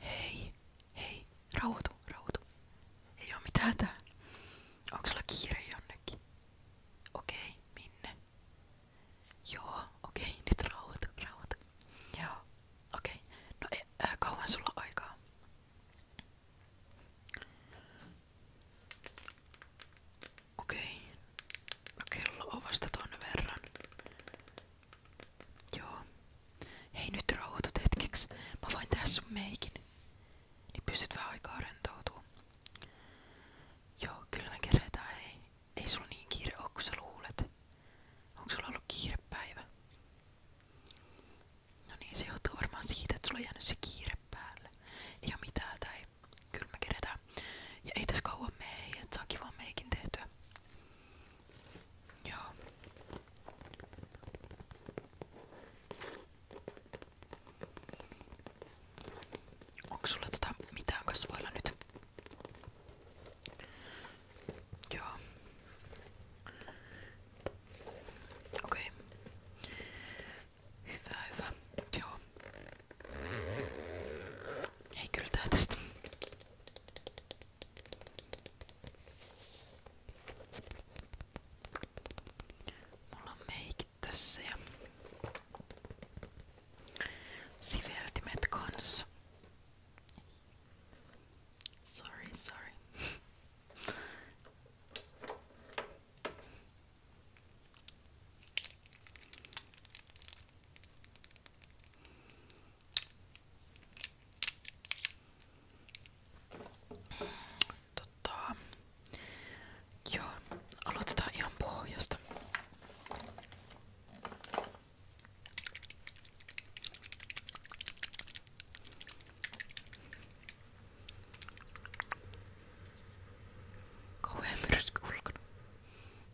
Hei, hei, rauhoitu, rauhoitu. Ei oo mitään tää. Onko sulla kiire jonnekin? Okei, okay, minne? Joo, okei, okay, nyt rauhoitu, rauhoitu. Joo, okei. Okay. No e, ää, kauan sulla on aikaa? Okei. Okay. No kello on vasta ton verran. Joo. Hei nyt rauhoitut hetkeksi. Mä voin tehdä sun meikin. Niin pystyt vähän aikaa rentoutumaan. Joo, kyllä me keretään, hei. Ei sulla niin kiire oo, kun sä luulet. Onko sulla ollut kiirepäivä? No niin, se johtuu varmaan siitä, että sulla on jäänyt se kiire päälle. Ei oo mitään tai kyllä me keretään. Ja ei tässä kauan mene, että saa kivan meikin tehtyä. Joo. Onko sulla tota mitään kasvoilla nyt? Joo. Okei. Okay. Hyvä, hyvä. Joo. Ei kyllä tää tästä. Mulla on meikit tässä ja siveltimet kanssa. Sorry, sorry. Totta. Joo, aloitetaan ihan pohjasta. Kauhean myrsky ulkona.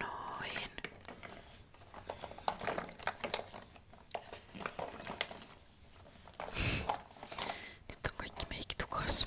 Noin. Nyt on kaikki meikki tukas.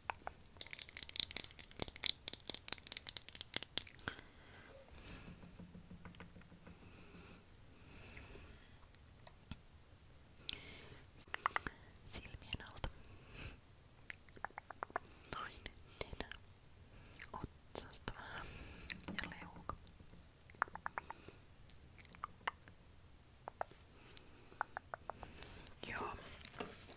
Silmien alta. Noin, nenä. Otsasta vähän. Ja leuka. Joo,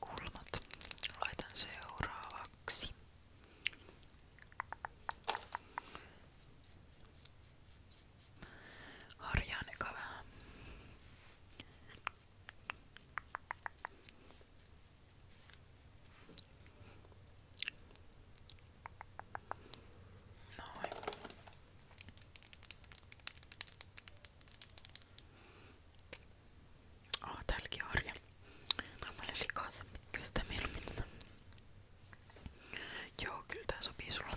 kulmat laitan seuraavaksi harjaan eka vähän Noin. Oh, täälläkin harja. Tää on paljon likaa se. Kyllä sitä mieluummin Joo, kyllä tää sopii sulle.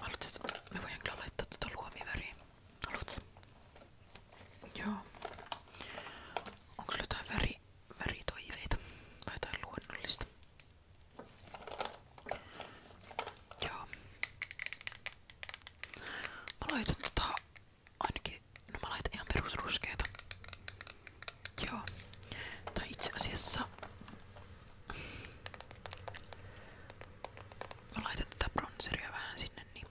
Haluatko, mä voin kyllä laittaa tota luomiväriä. Haluatko? Joo. Onko sulla jotain väri, väritoiveita tai jotain luonnollista? Joo. Mä laitan tota ainakin, no mä laitan ihan perusruskeita. Joo. Tai itse asiassa Mä laitan tätä bronzeria vähän sinne, niin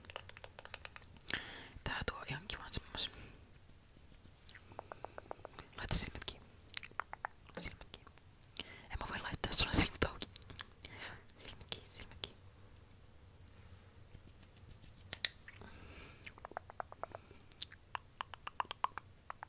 tää tuo ihan kivan semmosen. Laita silmät kiinni. Silmät kiinni. En mä voi laittaa sulle silmät auki. Silmät kiinni, silmät kiinni.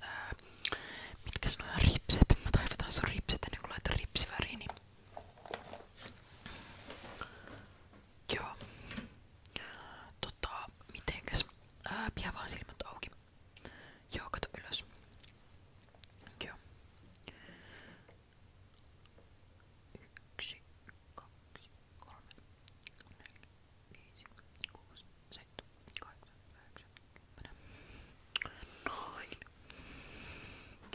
Ää, mitkä sinua ripset? Mä taivutan sun ripset ennen kuin laitan ripsiväriin. Niin... Joo. Tota, mitenkäs? Ää, pidä vaan silmät auki. Joo, kato ylös. Joo yksi, kaksi, kolme, neljä, viisi, kuusi, seitsemän, kahdeksan, yhdeksän, kymmenen. Noin.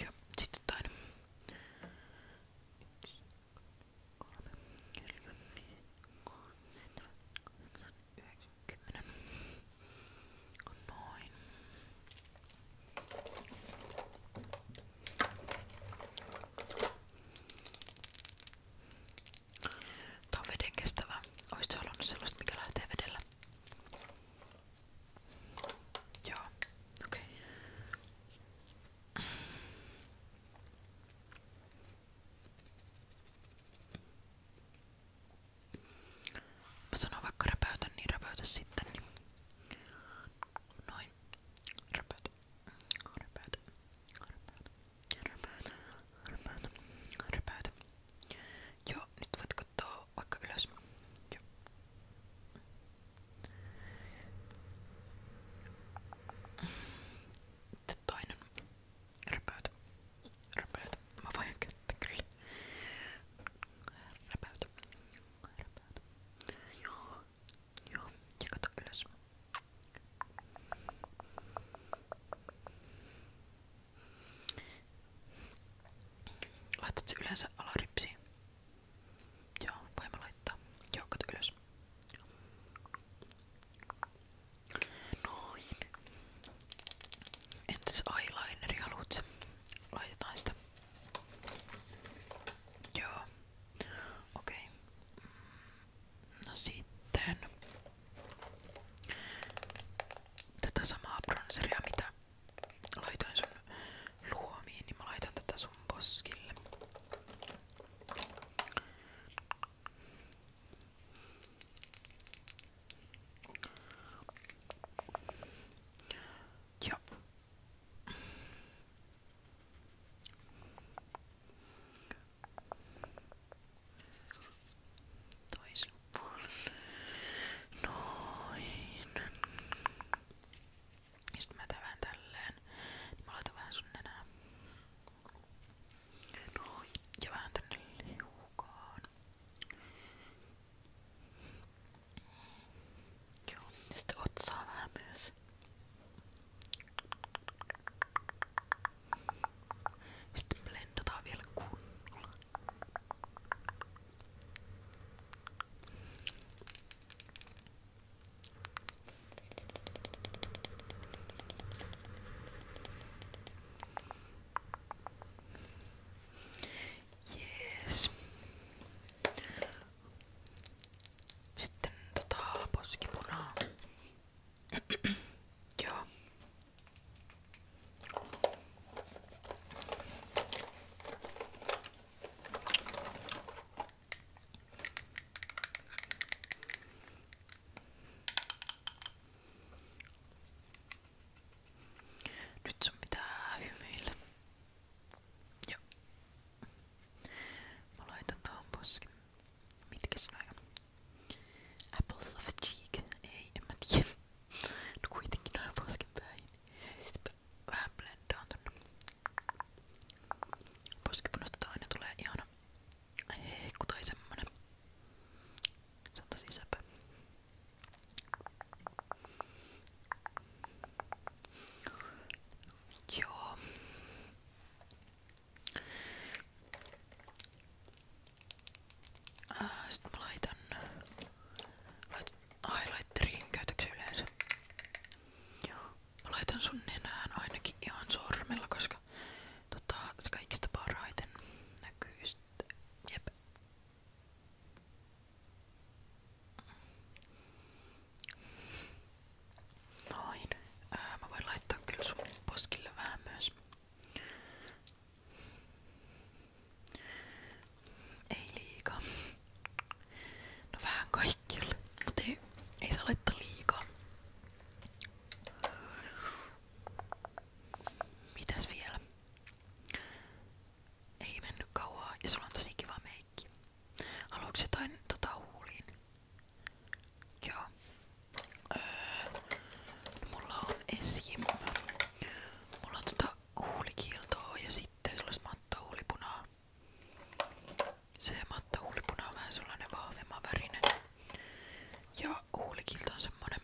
Ja sitten toinen. Yksi, kolme, neljä, viisi, kuusi, seitsemän, kahdeksan, yhdeksän, kymmenen. Noin. Tää on veden kestävää. Ois se halunnut sellaista, mikä lähtee vedellä? Joo, okei. Okay. Mä sanon vaikka räpäytä, niin räpäytä sitten. Niin. Noin. Repeat. Repeat. Repeat. Repeat. Repeat. Repeat. Joo, nyt voit katsoa vaikka ylös. Joo. Sitten toinen. Repeat. Repeat. Mä vajan kättä kyllä. Repeat. Härpäät. Joo, joo. Ja kato ylös. Laitatko yleensä alaripsiin? Joo, voimme laittaa. Joo, kato ylös. Noin. Entäs eyelineri haluatko? Laitetaan sitä Joo. Okei. Okay. Mm, no sitten. Tätä samaa bronzeria, mitä laitoin sun luomiin, niin mä laitan tätä sun poskille. Ja Toiselle puolelle. Noin. Ja sit mä tämän tälleen. Niin mä laitan vähän sun nenää. Noin. Ja vähän tänne liukaan. Joo, sitten otsaa vähän myös. Sitten blendataan vielä kunnolla. Jees. Sitten tota poskipunaa. Joo. Nyt sun pitää hymyillä. Joo. Mä laitan tuohon poskin. Mitkä sinä on? Apples of cheek. Ei, en mä tiedä. No kuitenkin noin posken päin. Sitten vähän blendaan tonne. Poskipunosta aina tulee ihana hehku tai semmonen. Se on tosi söpö. Joo. Äh, sitten mä laitan, laitan highlighteriin käytöksi yleensä. Mä laitan sun nenään ainakin ihan sormella, koska tota, se kaikista parhaiten näkyy sitten. Jep. Noin. Ää, mä voin laittaa kyllä sun poskille vähän myös. Ei liikaa. No vähän kaikille, mutta ei, ei saa laittaa liikaa. Mitäs vielä? ei mennyt kauaa ja sulla on tosi kiva meikki. Haluatko jotain tota huuliin? Joo. Öö, mulla on esim. Mulla on tota huulikiiltoa ja sitten sellaista mattohuulipunaa. Se mattohuulipuna on vähän sellainen vahvemman värinen. Ja huulikilto on semmonen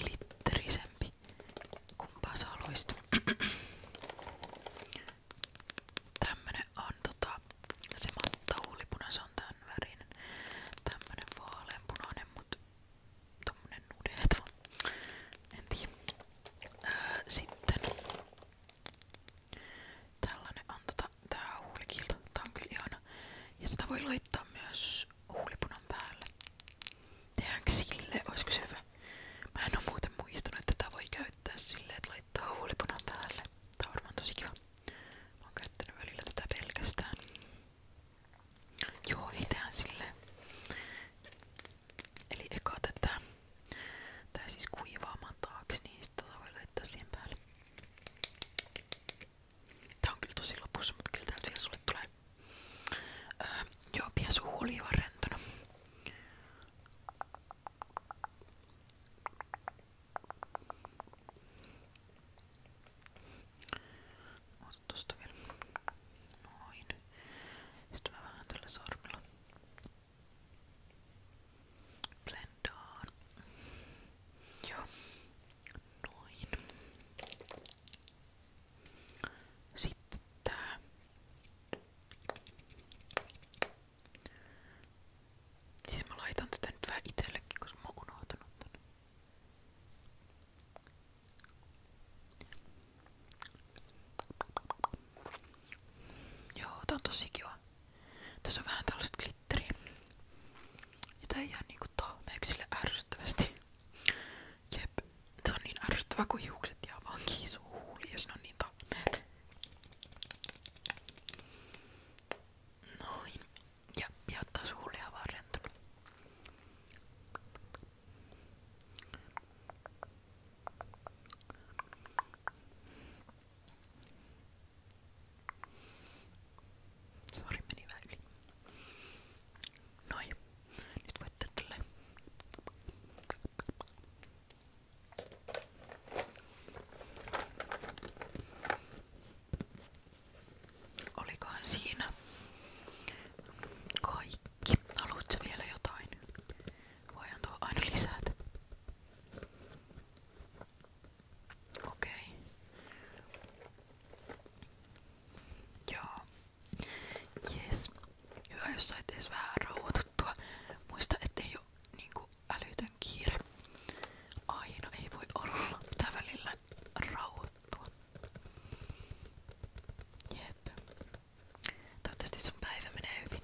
glitterisempi kumpaa sä haluaisit. Tämmönen on tota, se mattahuulipuna, se on tän mut tommonen nudeetava. En tiedä. Öö, sitten tällainen on tota, Ja sitä tota voi laittaa myös huulipunan päällä. Tehdäänkö sille? Olisiko se hyvä? Mä en oo muuten muistanut, että tätä voi käyttää silleen, että laittaa huulipunan päälle. Tää on varmaan tosi kiva. Mä oon käyttänyt välillä tätä pelkästään. Joo, ei tehdään silleen. Eli eka tätä. Tää siis kuivaamaan taakse, niin sitten tota voi laittaa siihen päälle. Tää on kyllä tosi lopussa, mutta kyllä täältä vielä sulle tulee. Öö, joo, pidä sun huoli vaan rentona. Ota tosta vielä. Noin. Sitten mä vähän tällä sormilla. Blendaan. Joo. Noin. Sitten tää. Siis mä laitan tätä nyt vähän itsellekin, koska mä oon unohtanut tän. Joo, tää on tosi kiva. Tässä on vähän tällaista glitteriä. Jota ei jää niinku tohmeiksille ärsyttävästi. Jep, se on niin ärsyttävä kuin hiukset ja vaan kiisuu huuliin jos ne on niin tohmeet. Noin. Ja, ja ottaa suulia vaan rentona. Sori, meni vähän yli. Noin. Nyt voitte tälle. Olikohan siinä kaikki? Haluatko vielä jotain? Voidaan tuo aina lisätä. Okej. Joo. Jees. Hyvä, jos sait edes vähän rauhoituttua. Muista, ettei oo niinku älytön kiire. Aina ei voi olla. Pitää välillä rauhoittua. Jep. Toivottavasti sun päivä menee hyvin.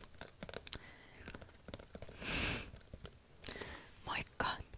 Moikka!